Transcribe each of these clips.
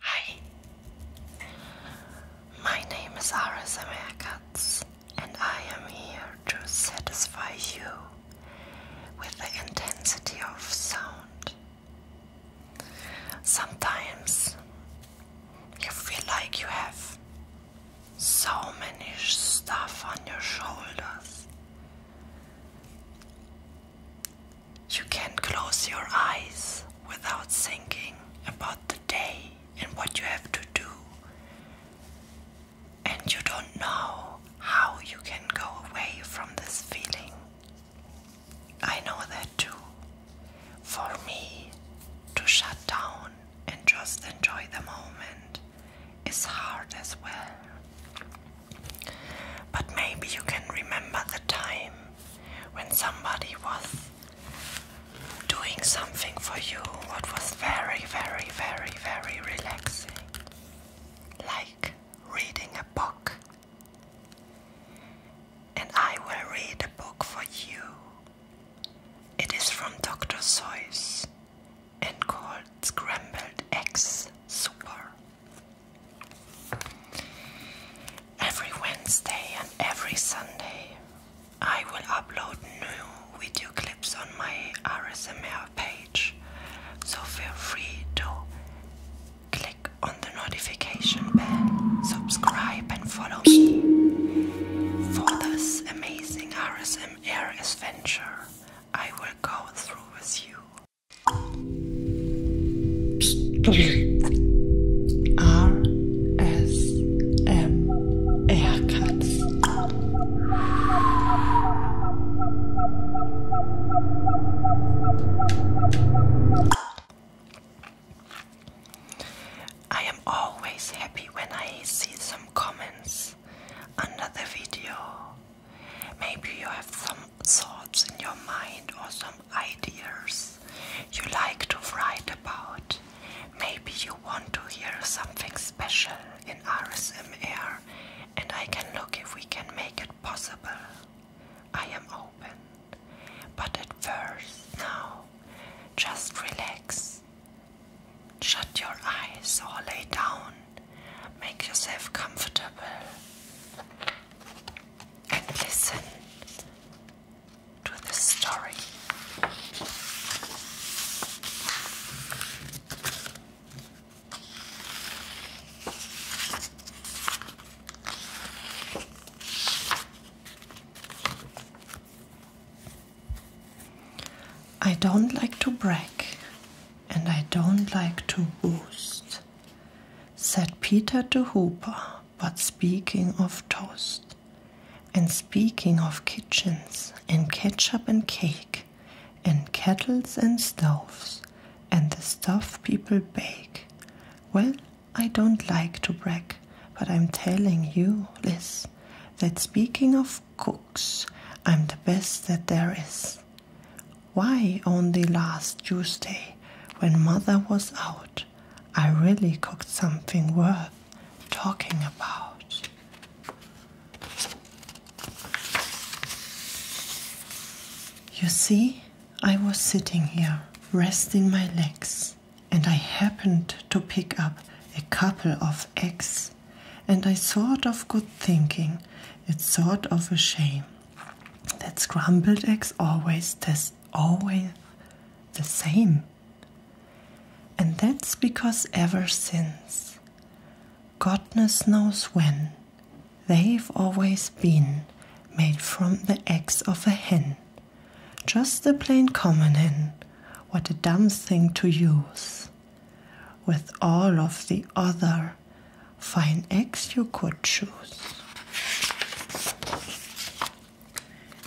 Hi, my name is Aris Americats, and I am here to satisfy you with the intensity of sound. Sometimes you feel like you have so many stuff on your shoulders. You can close your eyes without thinking about the day and what you have to do, and you don't know how you can go away from this feeling. I know that too. For me, to shut down and just enjoy the moment is hard as well. But maybe you can remember the time when somebody was doing something for you that was very, very, very, very relaxing. Like reading a book. And I will read a book for you. It is from Dr. Seuss and called scrambled eggs super. Every Wednesday and every Sunday, I will upload new video clips on my RSMR page, so feel free to click on the notification bell, subscribe, and follow me for this amazing Air adventure I will go through with you. R S M I am always happy when I see some comments under the video Maybe you have some thoughts in your mind or some ideas you like to write about. Maybe you want to hear something special in RSMR and I can look if we can make it possible. I am open. But at first, now, just relax. Shut your eyes or lay down make yourself comfortable, and listen to the story. I don't like to brag, and I don't like to boast, said Peter to Hooper. But speaking of toast, and speaking of kitchens, and ketchup and cake, and kettles and stoves, and the stuff people bake, well, I don't like to brag, but I'm telling you, Liz, that speaking of cooks, I'm the best that there is. Why, on the last Tuesday, when mother was out, I really cooked something worth talking about. You see, I was sitting here, resting my legs, and I happened to pick up a couple of eggs and I thought of good thinking. It's sort of a shame that scrambled eggs always taste always the same. And that's because ever since, Godness knows when, they've always been made from the eggs of a hen. Just a plain common hen, what a dumb thing to use with all of the other fine eggs you could choose.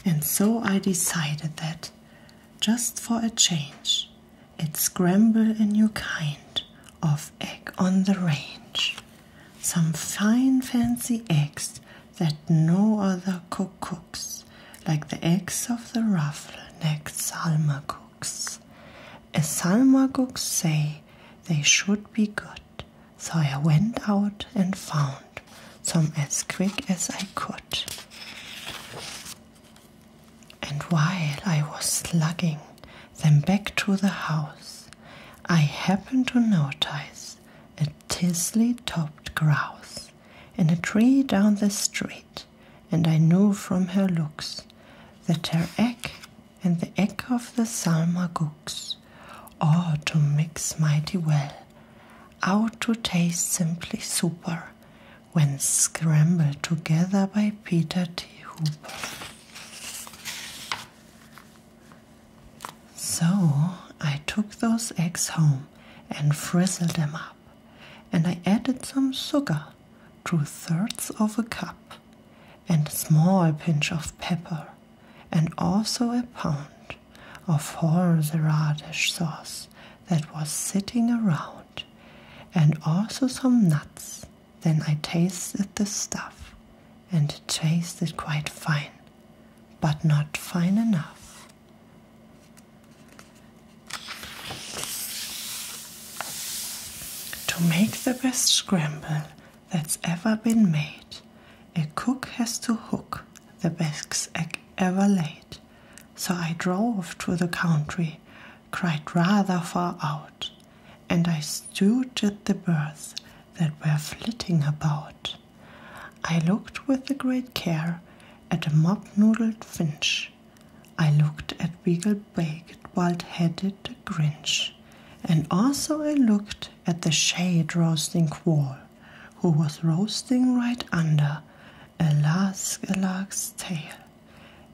And so I decided that, just for a change, it scramble a new kind of egg on the range. Some fine fancy eggs that no other cook cooks, like the eggs of the ruffle necked salmacook books. As Salmaguks say, they should be good, so I went out and found some as quick as I could. And while I was slugging them back to the house, I happened to notice a tisly topped grouse in a tree down the street and I knew from her looks that her egg and the egg of the Salmagooks are to mix mighty well, out to taste simply super, when scrambled together by Peter T. Hooper. So I took those eggs home and frizzled them up, and I added some sugar two thirds of a cup, and a small pinch of pepper, and also a pound of horseradish sauce that was sitting around, and also some nuts. Then I tasted the stuff, and it tasted quite fine, but not fine enough. To make the best scramble that's ever been made, a cook has to hook the best egg ever laid. So I drove to the country, cried rather far out, and I stewed at the birds that were flitting about. I looked with a great care at a mop noodled finch I looked at Wiggle Baked Bald Headed Grinch, and also I looked at the shade roasting quoll, who was roasting right under a a lark's tail.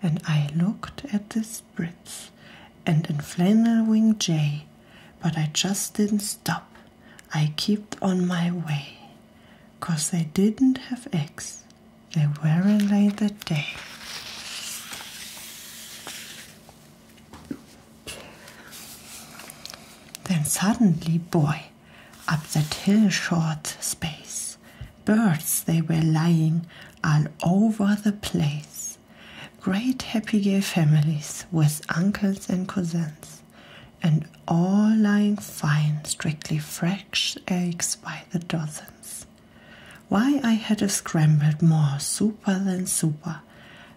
And I looked at the spritz and a flannel winged jay, but I just didn't stop. I kept on my way, cause they didn't have eggs they were weary lay the day. Then suddenly, boy, up that hill short space, birds they were lying all over the place. Great happy gay families with uncles and cousins, and all lying fine, strictly fresh eggs by the dozens. Why I had a scrambled more super than super.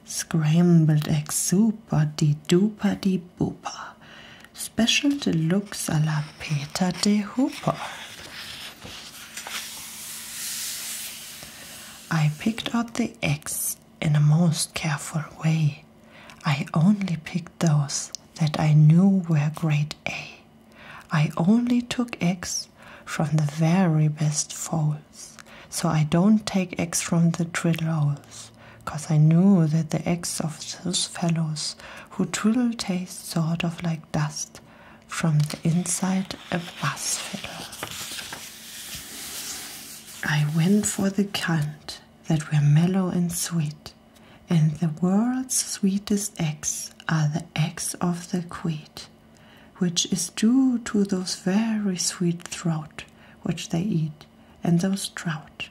Scrambled eggs super de duper de booper. Special deluxe a la Peter de Hooper. I picked out the eggs in a most careful way. I only picked those that I knew were great and A. I only took eggs from the very best foals, so I don't take eggs from the trill owls, cause I knew that the eggs of those fellows who twiddle taste sort of like dust from the inside a bass fiddle. I went for the kind that were mellow and sweet, and the world's sweetest eggs are the eggs of the quid, which is due to those very sweet trout which they eat, and those trout.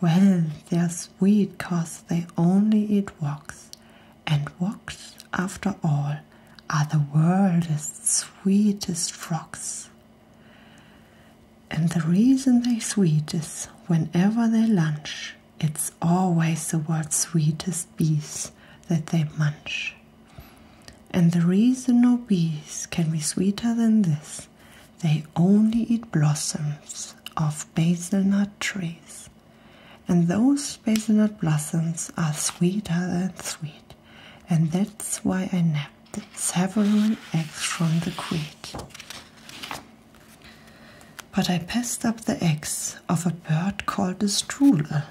Well, they are sweet cause they only eat rocks, and rocks, after all, are the world's sweetest rocks. And the reason they are sweet is whenever they lunch, it's always the world's sweetest bees that they munch. And the reason no bees can be sweeter than this, they only eat blossoms of hazelnut trees. And those hazelnut blossoms are sweeter than sweet. And that's why I nabbed several eggs from the queen. But I passed up the eggs of a bird called a strudel,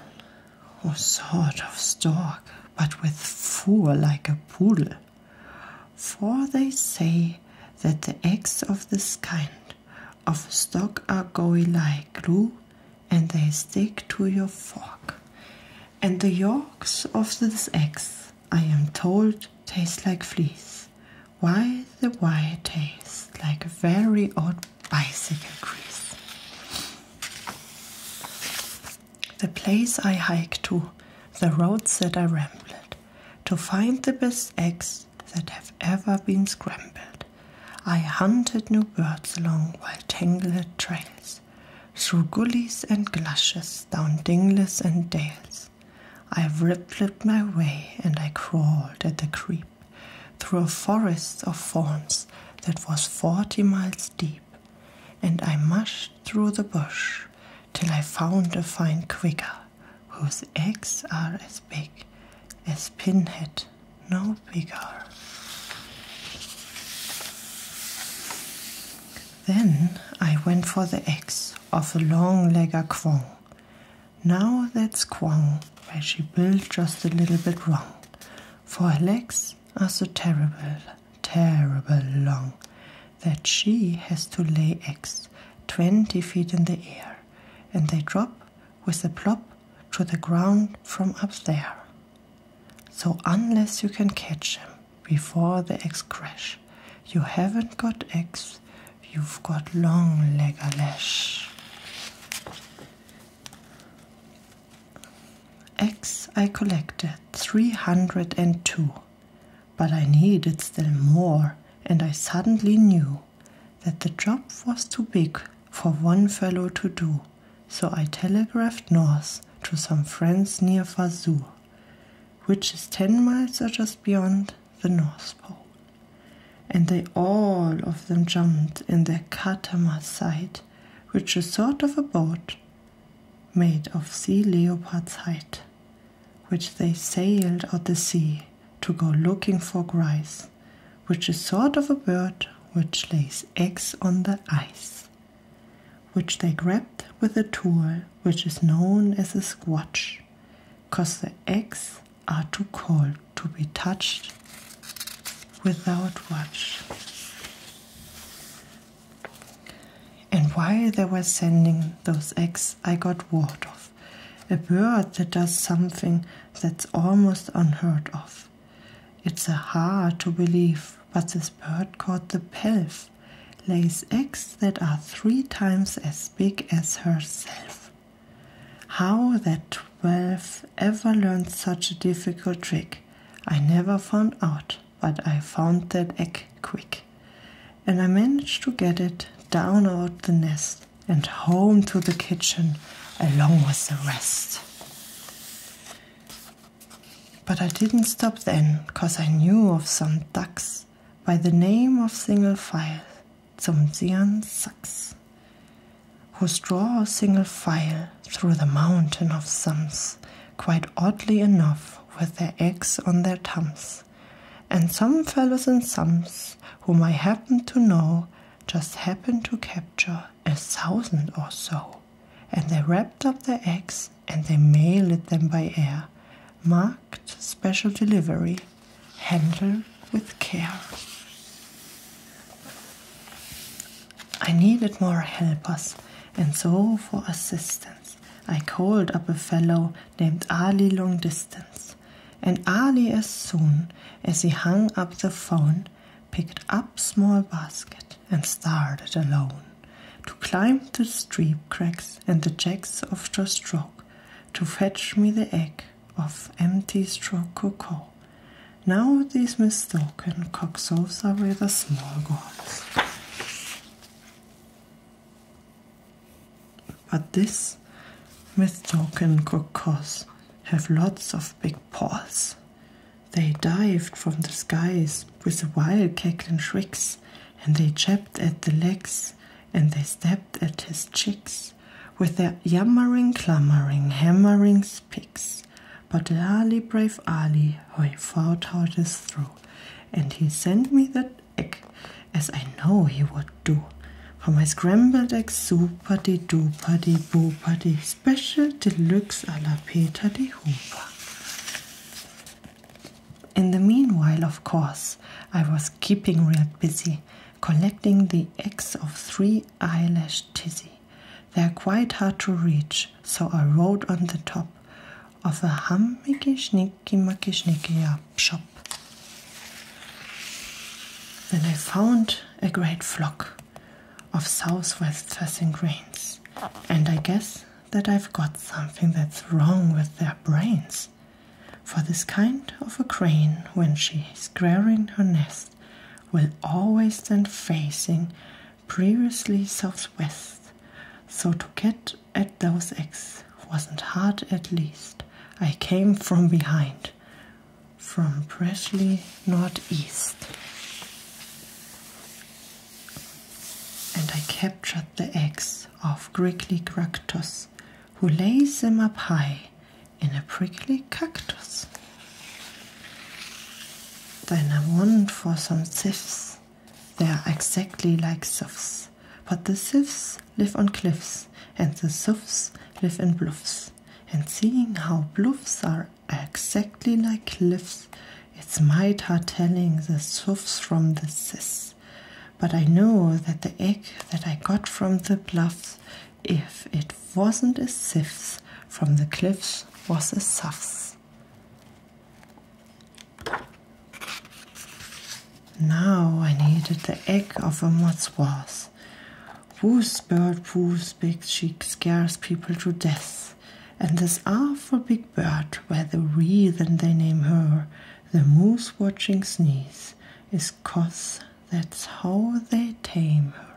or sort of stork, but with four like a poodle. For they say that the eggs of this kind of stock are gooey like glue, and they stick to your fork. And the yolks of these eggs, I am told, taste like fleas, why the wire tastes like a very odd bicycle grease. The place I hiked to, the roads that I rambled, to find the best eggs that have ever been scrambled. I hunted new birds along wild tangled trails, through gullies and glushes, down dingles and dales. I rippled my way and I crawled at the creep through a forest of thorns that was forty miles deep, and I mushed through the bush till I found a fine quigger whose eggs are as big as pinhead, no bigger. Then I went for the eggs of a long legger quong, now that's Kwang, where she built just a little bit wrong. For her legs are so terrible, terrible long, that she has to lay eggs twenty feet in the air, and they drop with a plop to the ground from up there. So unless you can catch him before the eggs crash, you haven't got eggs you've got long legalash. Eggs X I collected 302, but I needed still more, and I suddenly knew that the job was too big for one fellow to do, so I telegraphed north to some friends near Fazur, which is 10 miles or just beyond, the North Pole, and they all of them jumped in their Katama site, which is sort of a boat made of sea leopard's hide, which they sailed out the sea to go looking for grice, which is sort of a bird which lays eggs on the ice, which they grabbed with a tool which is known as a squatch, cause the eggs are too cold to be touched without watch. And while they were sending those eggs, I got word of a bird that does something that's almost unheard of. It's a hard to believe, but this bird called the pelf lays eggs that are three times as big as herself. How that twelve ever learned such a difficult trick, I never found out, but I found that egg quick. And I managed to get it down out the nest and home to the kitchen along with the rest. But I didn't stop then, cause I knew of some ducks by the name of single file some Xian Saks, who straw a single file through the mountain of sums, quite oddly enough, with their eggs on their thumbs, and some fellows in sums whom I happen to know just happened to capture a thousand or so, and they wrapped up their eggs and they mailed them by air, marked special delivery handle with care. I needed more helpers, and so for assistance, I called up a fellow named Ali Long Distance. And Ali, as soon as he hung up the phone, picked up small basket and started alone to climb the steep cracks and the jacks of the stroke to fetch me the egg of empty straw coco, Now these mistaken coxos are rather small ones. But this mistaken cocos have lots of big paws. They dived from the skies with a wild cackling shrieks, and they jabbed at the legs, and they stepped at his chicks with their yammering, clamoring, hammering spicks. But Ali, brave Ali, I fought out his through, and he sent me that egg, as I know he would do. For my scrambled egg soup, putty do, putty boo, putty, special deluxe a la Peter de Hooper. In the meanwhile, of course, I was keeping real busy collecting the eggs of three eyelash tizzy. They are quite hard to reach, so I rode on the top of a hummicky sneaky mucky sneaky uh, shop. Then I found a great flock of southwest facing grains, and I guess that I've got something that's wrong with their brains. For this kind of a crane, when she is squaring her nest, will always stand facing previously southwest, so to get at those eggs wasn't hard at least. I came from behind, from freshly northeast. And I captured the eggs of Griggly Gractus, who lays them up high in a prickly cactus. Then I want for some sieves. They are exactly like sieves, but the sieves live on cliffs and the sieves live in bluffs. And seeing how bluffs are exactly like cliffs, it's mighty telling the sieves from the sieves but I know that the egg that I got from the bluffs, if it wasn't a sifth from the cliffs, was a suffs. Now I needed the egg of a motswas. Whose bird, whose big she scares people to death, and this awful big bird, where the reason they name her, the moose watching sneeze, is cos. That's how they tame her.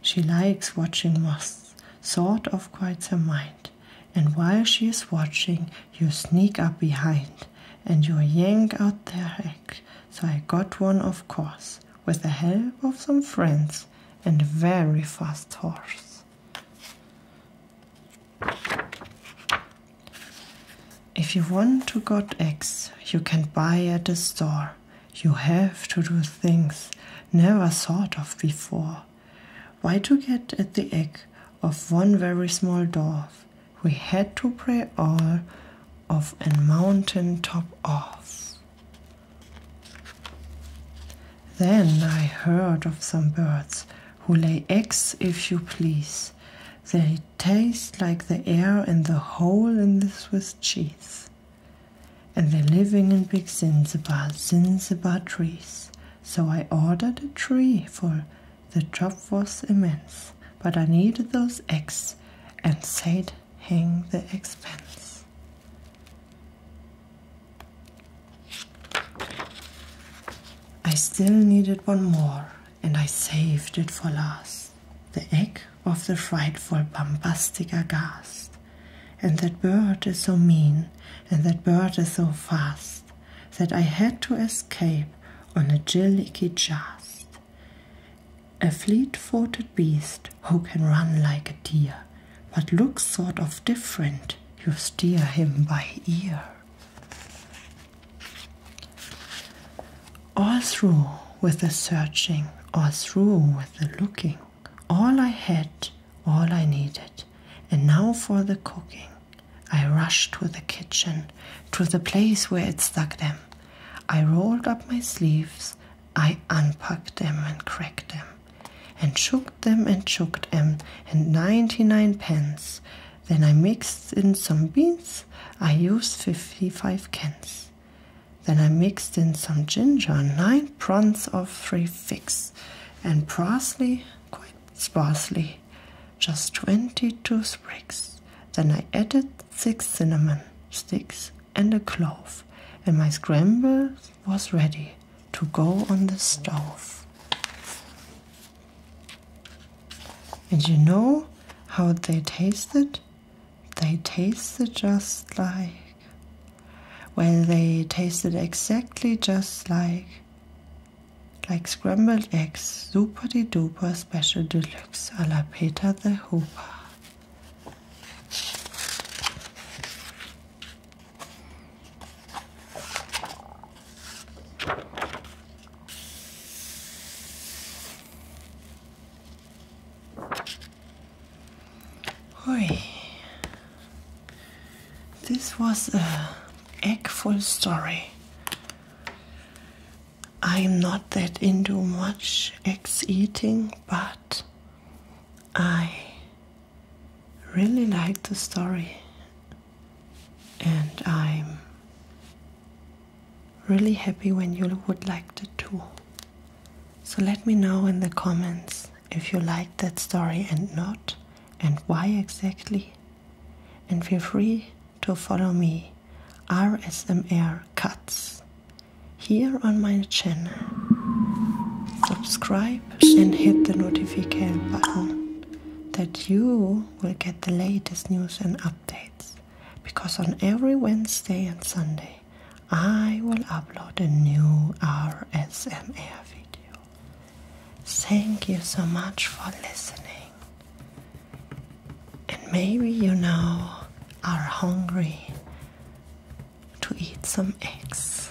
She likes watching moths, sort of quiets her mind. And while she is watching, you sneak up behind and you yank out their egg. So I got one, of course, with the help of some friends and a very fast horse. If you want to got eggs, you can buy at a store. You have to do things never thought of before. Why to get at the egg of one very small dwarf? We had to pray all of a mountain top off. Then I heard of some birds who lay eggs if you please. They they taste like the air and the hole in the Swiss cheese. And they're living in big Zinzibar, Zinzibar trees. So I ordered a tree, for the job was immense. But I needed those eggs and said, hang the expense. I still needed one more and I saved it for last the egg of the frightful bombastic aghast. And that bird is so mean, and that bird is so fast, that I had to escape on a jillicky just. A fleet footed beast who can run like a deer, but looks sort of different, you steer him by ear. All through with the searching, all through with the looking, all I had, all I needed, and now for the cooking. I rushed to the kitchen, to the place where it stuck them. I rolled up my sleeves, I unpacked them and cracked them, and shook them and shook them, and ninety nine pence. Then I mixed in some beans I used 55 cans. Then I mixed in some ginger, nine prawns of three figs, and parsley, quite sparsely, just 22 sprigs. Then I added six cinnamon sticks and a clove, and my scramble was ready to go on the stove. And you know how they tasted? They tasted just like. Well, they tasted exactly just like. Like scrambled eggs, superdy duper special deluxe alla la Peter the Hooper. Oi. This was a eggful story. I'm not that into much eggs eating, but I really liked the story and I'm really happy when you would like the tool. So let me know in the comments if you liked that story and not, and why exactly. And feel free to follow me, RSMR Cuts, here on my channel. Subscribe and hit the notification button that you will get the latest news and updates because on every Wednesday and Sunday I will upload a new RSMR video. Thank you so much for listening. And maybe you know, are hungry to eat some eggs.